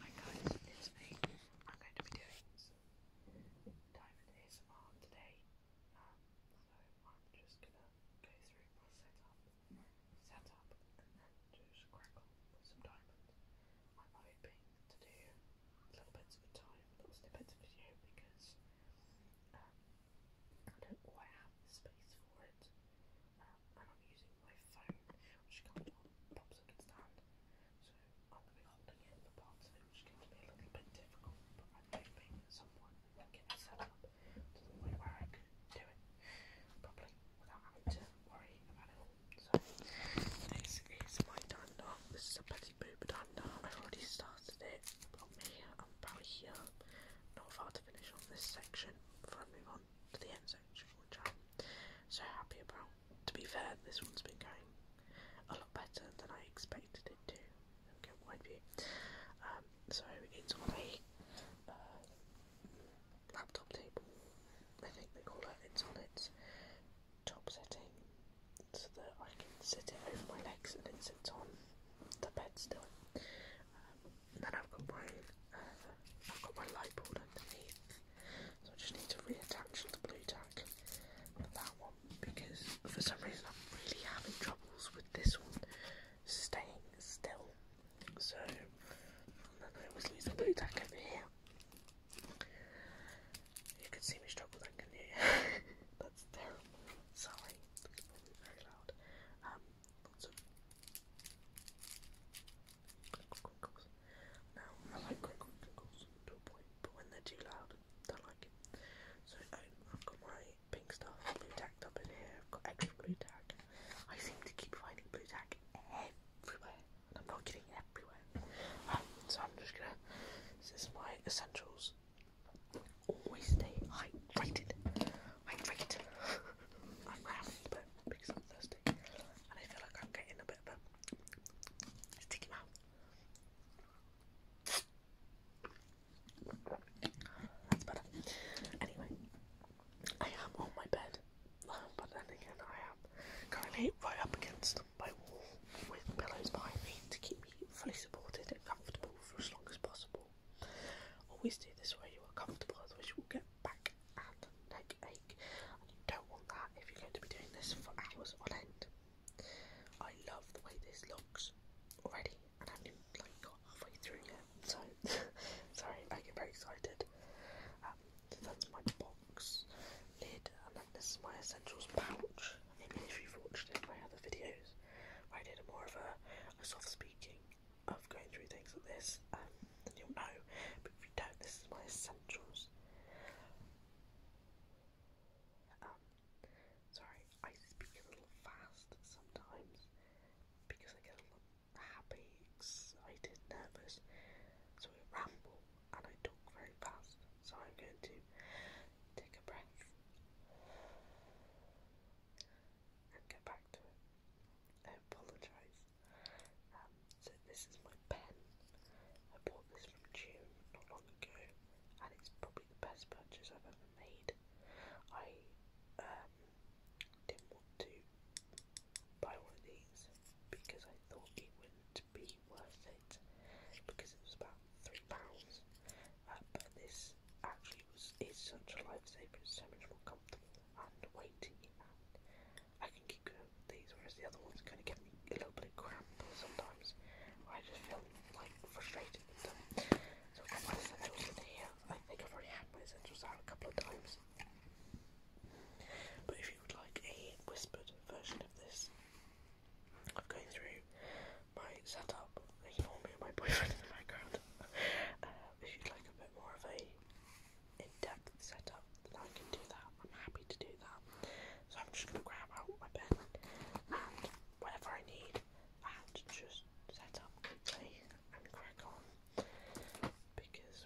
Hi guys, it's me. I'm going to be doing some diamond ASMR today. Um, I'm just gonna go through my setup, setup, and then just crackle some diamonds. I'm hoping to do little bits of a time, little snippets of video because um, I don't quite have the space for it. I'm using my phone, which comes on, pops up its stand, so I'm going to be holding it for parts of it, which can be a little bit difficult, but I'm hoping that someone can get it set up to the way where I can do it properly without having to worry about it all. So, this is my dunder, this is a Betty Boop dunder, I've already started it, I'm here, I'm probably here, not far to finish off this section before I move on to the end section, so happy about. To be fair, this one's been going a lot better than I expected it to. Okay, wide view. Um, so it's on a uh, laptop table, I think they call it. It's on its top setting, so that I can sit it over my legs and it sits on the bed still. Um, then I've got my uh, I've got my light bulb underneath, so I just need to reattach the blue tack for that one because for some reason I'm really having troubles with this one staying still. So i then going to lose the blue tack over here. You can see me struggle then, can That's terrible. Sorry, very loud. Um, lots of now, I like crinkles to a point, but when they're too loud, I don't like it. So, I've got my pink stuff, blue tacked up in have got extra blue tack. I seem to keep finding blue tack everywhere, and I'm not getting everywhere. so, I'm just gonna, this is my essentials. Always stay hydrated. Hydrated. I'm cramped a because I'm thirsty and I feel like I'm getting a bit sticky mouth. That's better. Anyway, I am on my bed, but then again, I am currently right up against my wall with pillows behind me to keep me fully supported and comfortable for as long as possible. Always do this way you are comfortable, otherwise you will get back and neck ache, and you don't want that if you're going to be doing this for hours on end. I love the way this looks already, and I've even, got halfway through it, so sorry, I get very excited. Um, that's my box lid, and then this is my essentials pouch. if you've watched any of my other videos, I did a more of a soft speaking of going through things like this, um, then you'll know. But if you don't, this is my essentials. Um, sorry, I speak a little fast sometimes because I get a little happy, excited, nervous, so I ramble and I talk very fast. So I'm going to take a breath and get back to it. I apologise um, so this is my pen. I bought this from June not long ago, and it's probably the best purchase I've ever made. I um, didn't want to buy one of these because I thought it wouldn't be worth it because it was about three pounds. Uh, but this actually was is such a lifesaver. It's so much more comfortable and weighty. And I can keep going with these, whereas the other ones kind of get me a little bit of cramp sometimes. I just feel like frustrated with them. So I've got my essentials in here. I think I've already had my essentials out a couple of times. But if you would like a whispered version of this, I'm going through my setup. Ignore me and my boyfriend in the background. Uh, if you'd like a bit more of a in-depth setup that I can do that. I'm happy to do that. So I'm just gonna grab out my pen and whatever I need and just set up quickly and crack on because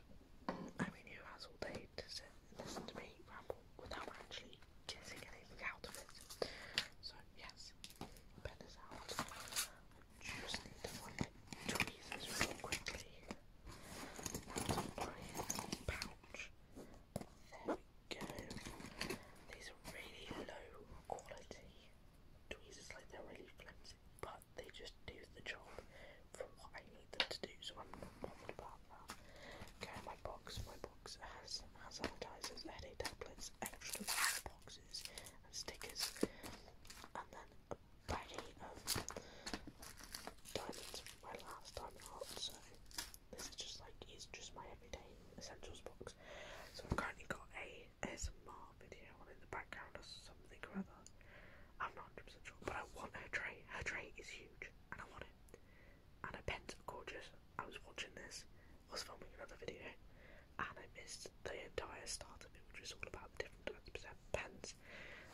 I mean who has all day to sit and listen to me ramble without actually getting anything out of it. So yes, pen is out just need to like tweeze quickly here. Out my pouch. There we go. These are really low quality tweezers, like they're really flimsy, but they just do the job for what I need them to do, so I'm not bothered about that. Okay, my box, my box has hand sanitizers, headache tablets, extra boxes and stickers, and then Friday um, diamonds were last time out, so this is just like it's just my everyday essentials box. So I've currently got a ASMR video on in the background or something or other. I'm not 100% sure, but I want her tray. Her tray is huge, and I want it. And her pens gorgeous. I was watching this, I was filming another video, and I missed the entire start of it, which was all about the different types of pens,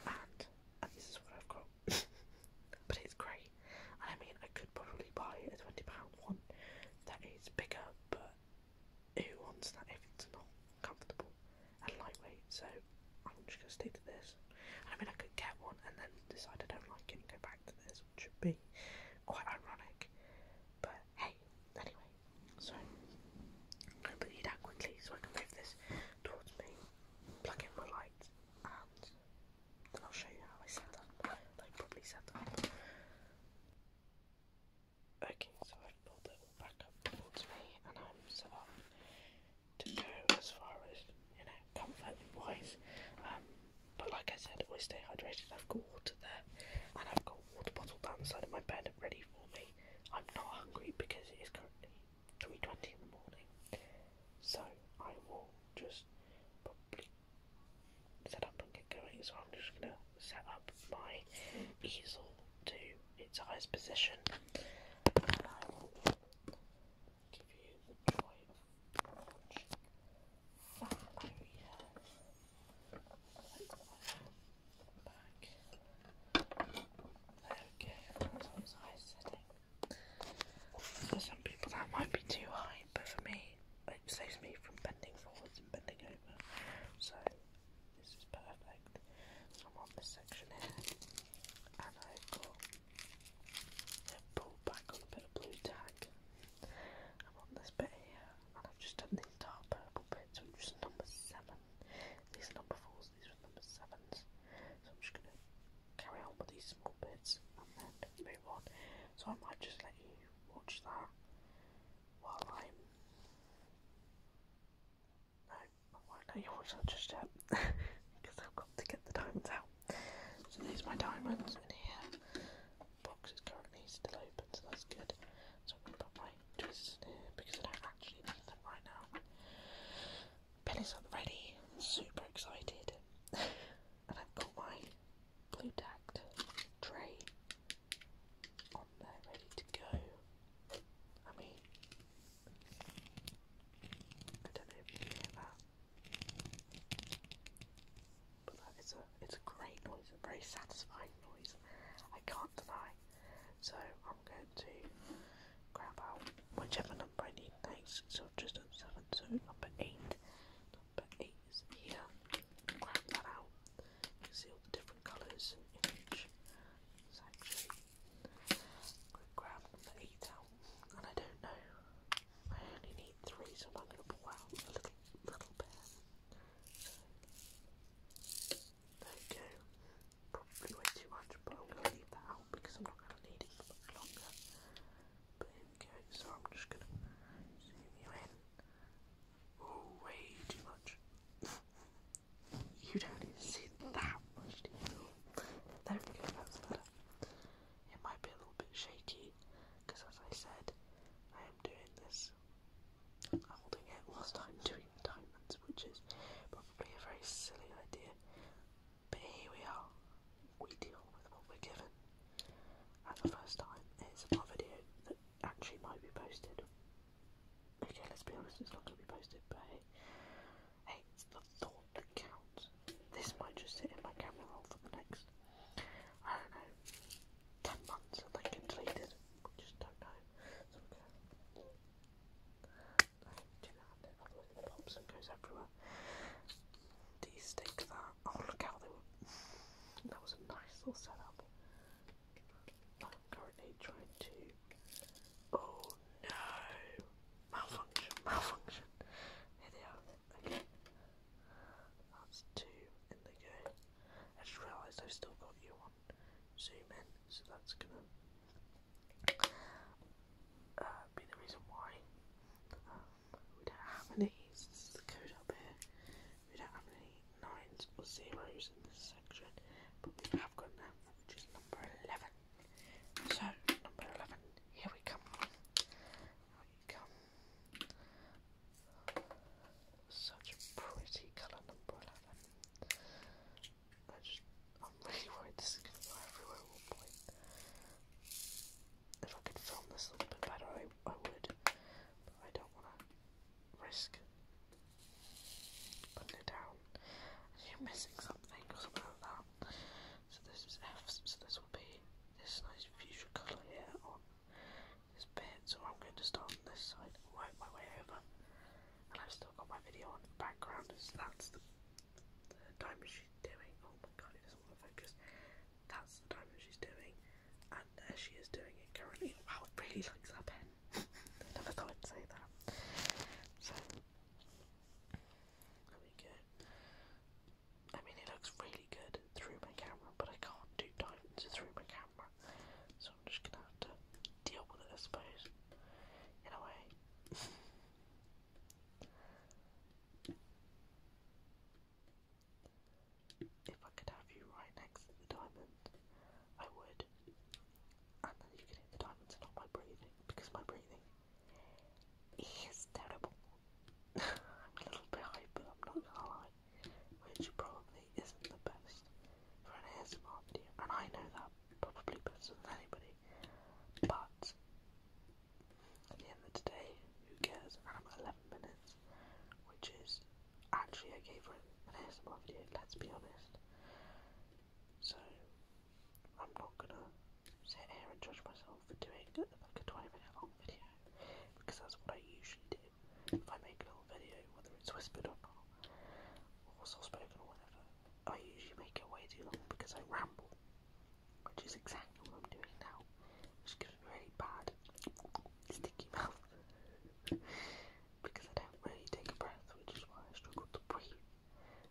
and, and this is what I've got. but it's great, and I mean, I could probably buy a £20 one that is bigger, but who wants that if it's not comfortable and lightweight? So I'm just going to stick to this. And I mean, I could get one and then decide I don't like it and go back to this, which would be quite ironic. But hey, anyway, so I'm going to put you down quickly so I can move this towards me, plug in my light, and then I'll show you how I set up, like probably set up. Okay, so I've pulled it all back up towards me, and I'm set up to go as far as, you know, comfort wise. Um, but like I said, always stay hydrated. I've got water there, and I've got a water bottle down the side of my bed ready for me. I'm not hungry because it is currently 3.20 in the morning. So I will just probably set up and get going. So I'm just going to set up my easel to its highest position. And I will give you the joy of watching. Oh Okay, that's what was I setting. For some people that might be too high, but for me, it saves me from bending forwards and bending over. So this is perfect. I'm on this section here, and I've got a pull back on a bit of blue tag. I'm on this bit here, I've just done these dark purple bits, which is number seven. These number fours, these are number sevens. So I'm just going to carry on with these small bits and then move on. So I might just let you watch that while I'm. No, I won't let you watch that just yet because I've got to get the diamonds out. So these are my diamonds in here. box is currently still open, so that's good. So I'm going to put my because I don't actually need them right now. Penny's up ready, super excited. and I've got my blue tacked tray on there ready to go. I mean, I don't know if you hear that, but that is a it's a great noise, a very satisfying noise. I can't deny. So I'm going to grab out whichever number I need next. So I've just done seven, so number eight. Number eight is here. Grab that out. You can see all the different colours in each section. grab number eight out, and I don't know. I only need three, so I'm going to pull a little, little bit. So, there you go. Probably way too much, but I'm going to leave that out because I'm not going to need it for much longer. But here So I'm just going to zoom you in. Oh, way too much. you don't even see that much detail. There we go. That's better. It might be a little bit shaky because, as I said, I am doing this holding it whilst I'm doing diamonds, which is probably a very silly idea. But here we are. We deal with what we're given. And the first time, it's a video that actually might be posted. Okay, let's be honest, it's not going to be posted, but hey, hey, it's the thought that counts. This might just sit in my camera roll for the next, 10 months that they completed. We just don't know. So do that and then the pops and goes everywhere. These stick that. Oh, look how they That was a nice little setup. I'm currently trying to. Oh no! Malfunction, malfunction! Here they are. Okay. That's two, and they go. I just realised I've still got you on Zoom in, so that's gonna uh, be the reason why. Um, we don't have any, this is the code up here, we don't have any 9s or zeros in this section, but we have got which is number 11. So, number 11, here we come. Here we come. Such pretty colour, number 11. I am really worried this is going to go everywhere If I could film this a little bit better, I, I would, I don't want to risk putting it down. you're missing something or that. So this is F, so this will be this nice fuchsia colour here this bit, so I'm going to start on this side and work my way over. And I've still got my video on the background, as that's the, the she's doing. Oh my god, it doesn't want to focus. That's the time she's doing, and there she is doing it currently. Wow, I really like that pen. I never thought I'd say that. So, there we go. I mean, it looks really good through my camera, but I can't do diamonds through my camera. So I'm just gonna have to deal with it, I suppose. In if I could have you right next to the diamond, I would. And then you could hit the diamonds and not my breathing, because my breathing is terrible. I'm a little bit hyper, I'm not gonna lie which probably isn't the best for an ASMR video, and I know that probably better than anybody, but at the end of the day, who cares? And I'm at 11 minutes, which is actually okay for an ASMR video, let's be honest. So, I'm not gonna sit here and judge myself for doing like a 20 minute long video because that's what I usually do. If I make a little video, whether it's whispered or not, or soft spoken or whatever, I usually make it way too long because I ramble, which is exactly what I'm doing now, which gives me really bad sticky mouth because I don't really take a breath, which is why I struggle to breathe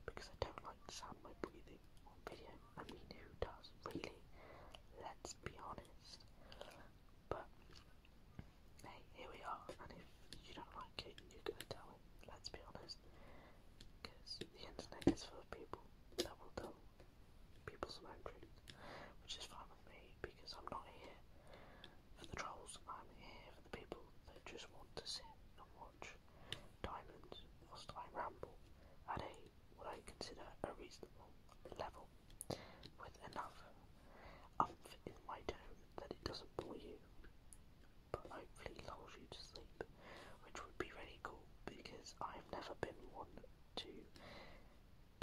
because I don't like to sound my breathing on video. I mean, who does really? Let's be honest. But hey, here we are, and if you don't like it, you're gonna tell it, let's be honest. Because the internet is full of people that will tell people own truth, which is fine with me because I'm not here for the trolls, I'm here for the people that just want to sit and watch Diamonds whilst I ramble at a what I consider a reasonable level with enough umph in my tone that it doesn't bore you, but hopefully lulls you to sleep, which would be really cool because I've never been one to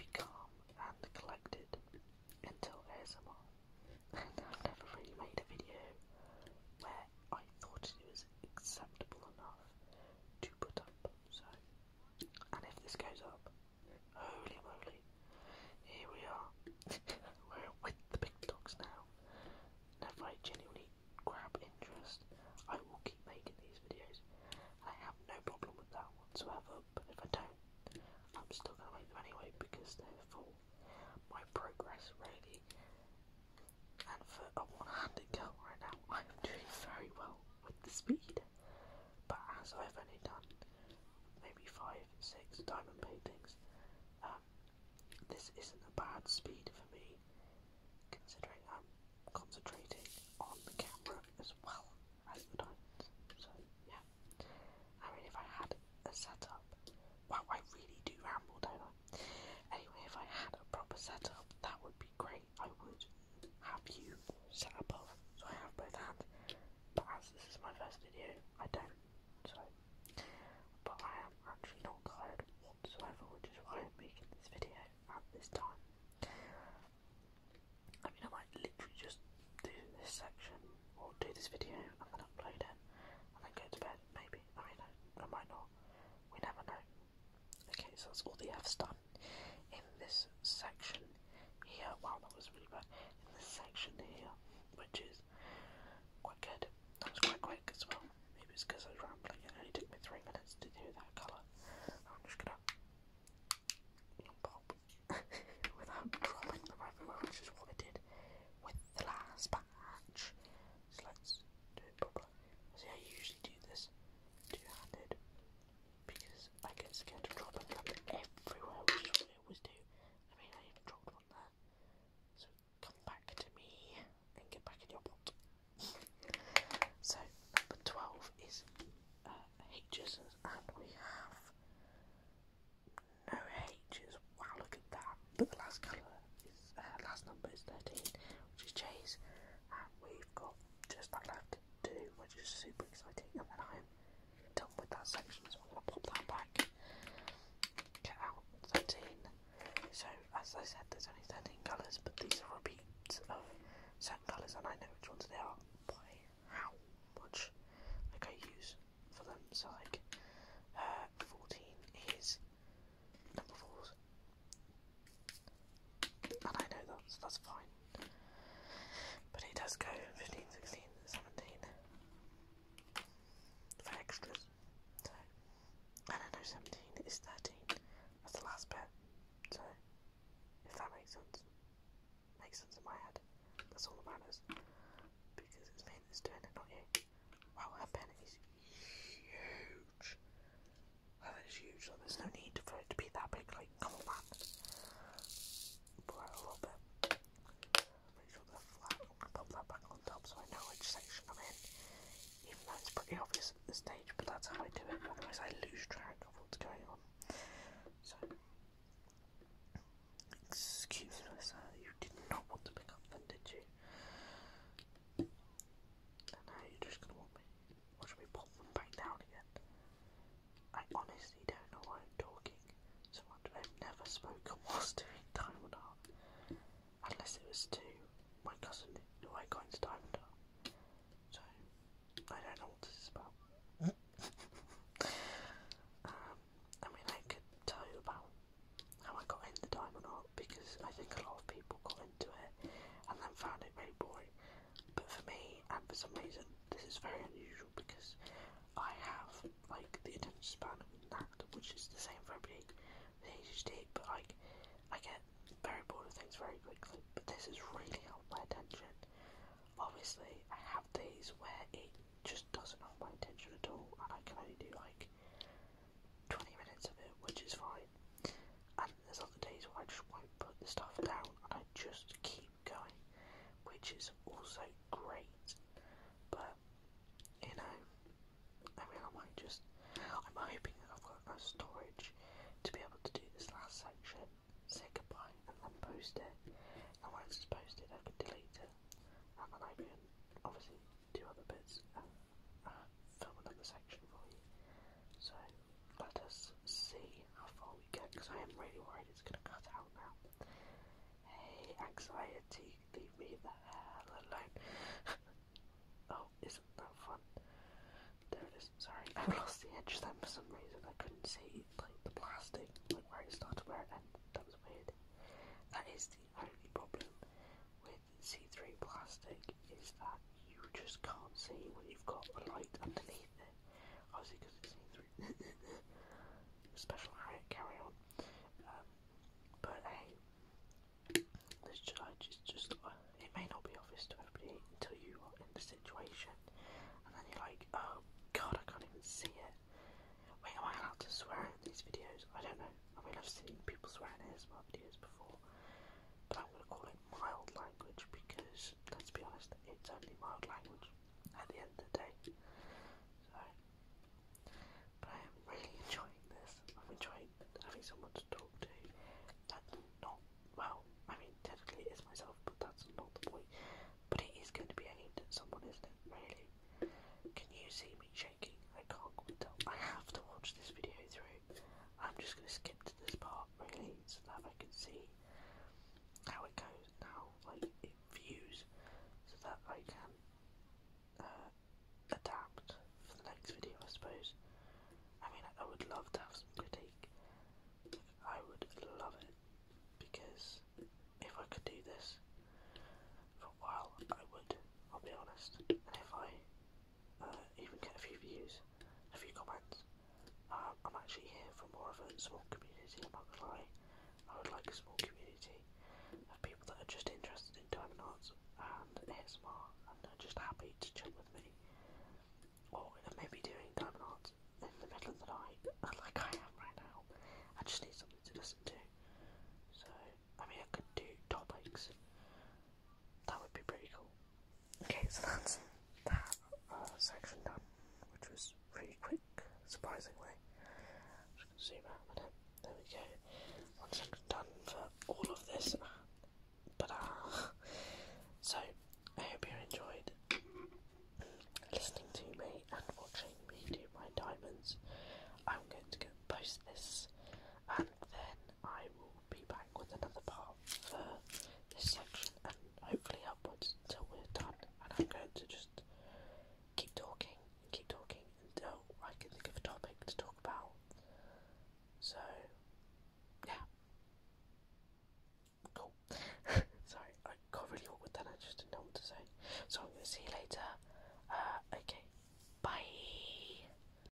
be calm and collected until ASMR, and I've never really made a video where I thought it was acceptable enough to put up. So, and if this goes up, Holy moly. Here we are. We're with the big dogs now. if I genuinely grab interest, I will keep making these videos. I have no problem with that whatsoever, but if I don't, I'm still going to make them anyway because they're for my progress, really. And for a one handed girl right now, I'm doing very well with the speed but as I've only done maybe five, six diamond paintings, um, this isn't a bad speed for me, considering I'm concentrating on the camera as well as the diamonds. So yeah, I mean, if I had a setup, wow, I really do ramble, don't I? Anyway, if I had a proper setup, that would be great. I would have you set up both. So I have both hands, but as this is my first video, I don't. So, but I am actually not tired whatsoever, which is why I'm making this video at this time. I mean, I might literally just do this section or do this video and then upload it and then go to bed, maybe. I mean, I, might not. We never know. Okay, so that's all the F's done in this section here. Wow, that was really bad. In this section here, which is quite good. That was quite quick as well. Maybe it's because I was rambling. It only took me three minutes to do that colour. I'm just gonna pop without dropping the reference, which is what I did with the last batch. So let's do it properly. See, I usually do this two-handed because because I get scared of dropping them everywhere, which is what I always do. I mean, I even dropped one there. So come back to me and get back in your pot. so number 12 is H. Uh, H's, and we have no H's. Wow, look at that. But the last colour is, uh, last number is 13, which is J's, and we've got just that left to do, which is super exciting. And then I'm done with that section, so I'm gonna pop that back. Get out 13. So as I said, there's only 13 colours, but these are repeats of certain colours, and I know which ones they are by how much like I use for them. So like uh, 14 is number fours. And I know that, that's fine. But he does go 15, 16, 17 for extras. So, and I know 17 is 13. That's the last bit. So, if that makes sense, makes sense in my head. That's all that matters. Because it's me that's doing it, not you. Wow, her pen is huge. That oh, is huge, so there's no need for it to be that big, like, come on back. Pour out a little bit. Make sure they're flat, pop that back on top so I know which section I'm in. Even though it's pretty obvious at this stage, but that's how I do it, otherwise I lose track of what's going on. So, excuse me sir, you did not want to pick up then, did you? And now you're just gonna want me should we pop them back down again? I honestly don't know why I'm talking so much. I've never spoken whilst doing Time and Art. Unless it was to my cousin who I got into Time and Art. So, I don't know what this is about. Um, I mean, I could tell you about how I got into Diamond Art because I think a lot of people got into it and then found it very boring. But for me, and for some reason, this is very unusual because I have like the attention span of an actor, which is the same for everybody with ADHD. But like, I get very bored of things very quickly. But this has really helped my attention. Obviously, I have days where it just doesn't hold my attention at all, and I can only do like 20 minutes of it, which is fine there's other days where I just won't put the stuff down and I just keep going, which is also great. But you know, I mean, I might just. I'm hoping that I've got enough storage to be able to do this last section, say goodbye, and then post it. And once it's posted, I can delete it, and then I can obviously do other bits, and uh, film another section for you. So let us see how far we get, because I am really worried it's going to cut out now. Hey, anxiety, leave me the hell alone. oh, isn't that fun? There it is. Sorry, I lost the edge then for some reason. I couldn't see like the plastic, like where it started, where it ended. That was weird. That is the only problem with with see-through plastic is that you just can't see when you've got the light underneath it. because it's see-through. Special area, carry on. Um, but hey, this charge is just, uh, it may not be obvious to everybody until you are in the situation. And then you're like, oh god, I can't even see it. Wait, am I allowed to swear in these videos? I don't know. I mean, I've seen people swear in ASMR videos before, but I'm going to call it mild language because, let's be honest, it's only mild language at the end of the day. So, but I am really enjoying this. I'm enjoying having someone to talk to. That's not, well, I mean, technically it is myself, but that's not the point. But it is going to be a aimed that someone, isn't Really? Can you see me shaking? I can't quite tell. I have to watch this video through. I'm just going to skip this part really so that I can see how it goes and how like it views so that I can uh, adapt for the next video I suppose. I mean I would love to have some critique. I would love it because if I could do this for a while I would, I'll be honest. And if I uh, even get a few views, a few comments. Um, I'm actually here for more of a small community, I'm not gonna lie. I would like a small community of people that are just interested in diamond arts and ASMR and are just happy to chat with me. Or maybe doing diamond arts in the middle of the night, uh, like I am right now. I just need something to listen to. So, I mean, I could do topics. That would be pretty cool. Okay, so that's that uh, section done, which was pretty quick, surprisingly. I'm going to zoom out a minute. There we go. One done for all of this. But uh, so I hope you enjoyed listening to me and watching me do my diamonds. I'm going to go post this and then I will be back with another part for uh, this section and hopefully upwards until we're done. And I'm going to just keep talking, keep talking until I can think of a topic to talk about. So, yeah. Cool. Sorry, I got really awkward that. I just didn't know what to say. So I'm going to see you later. Uh, okay. Bye.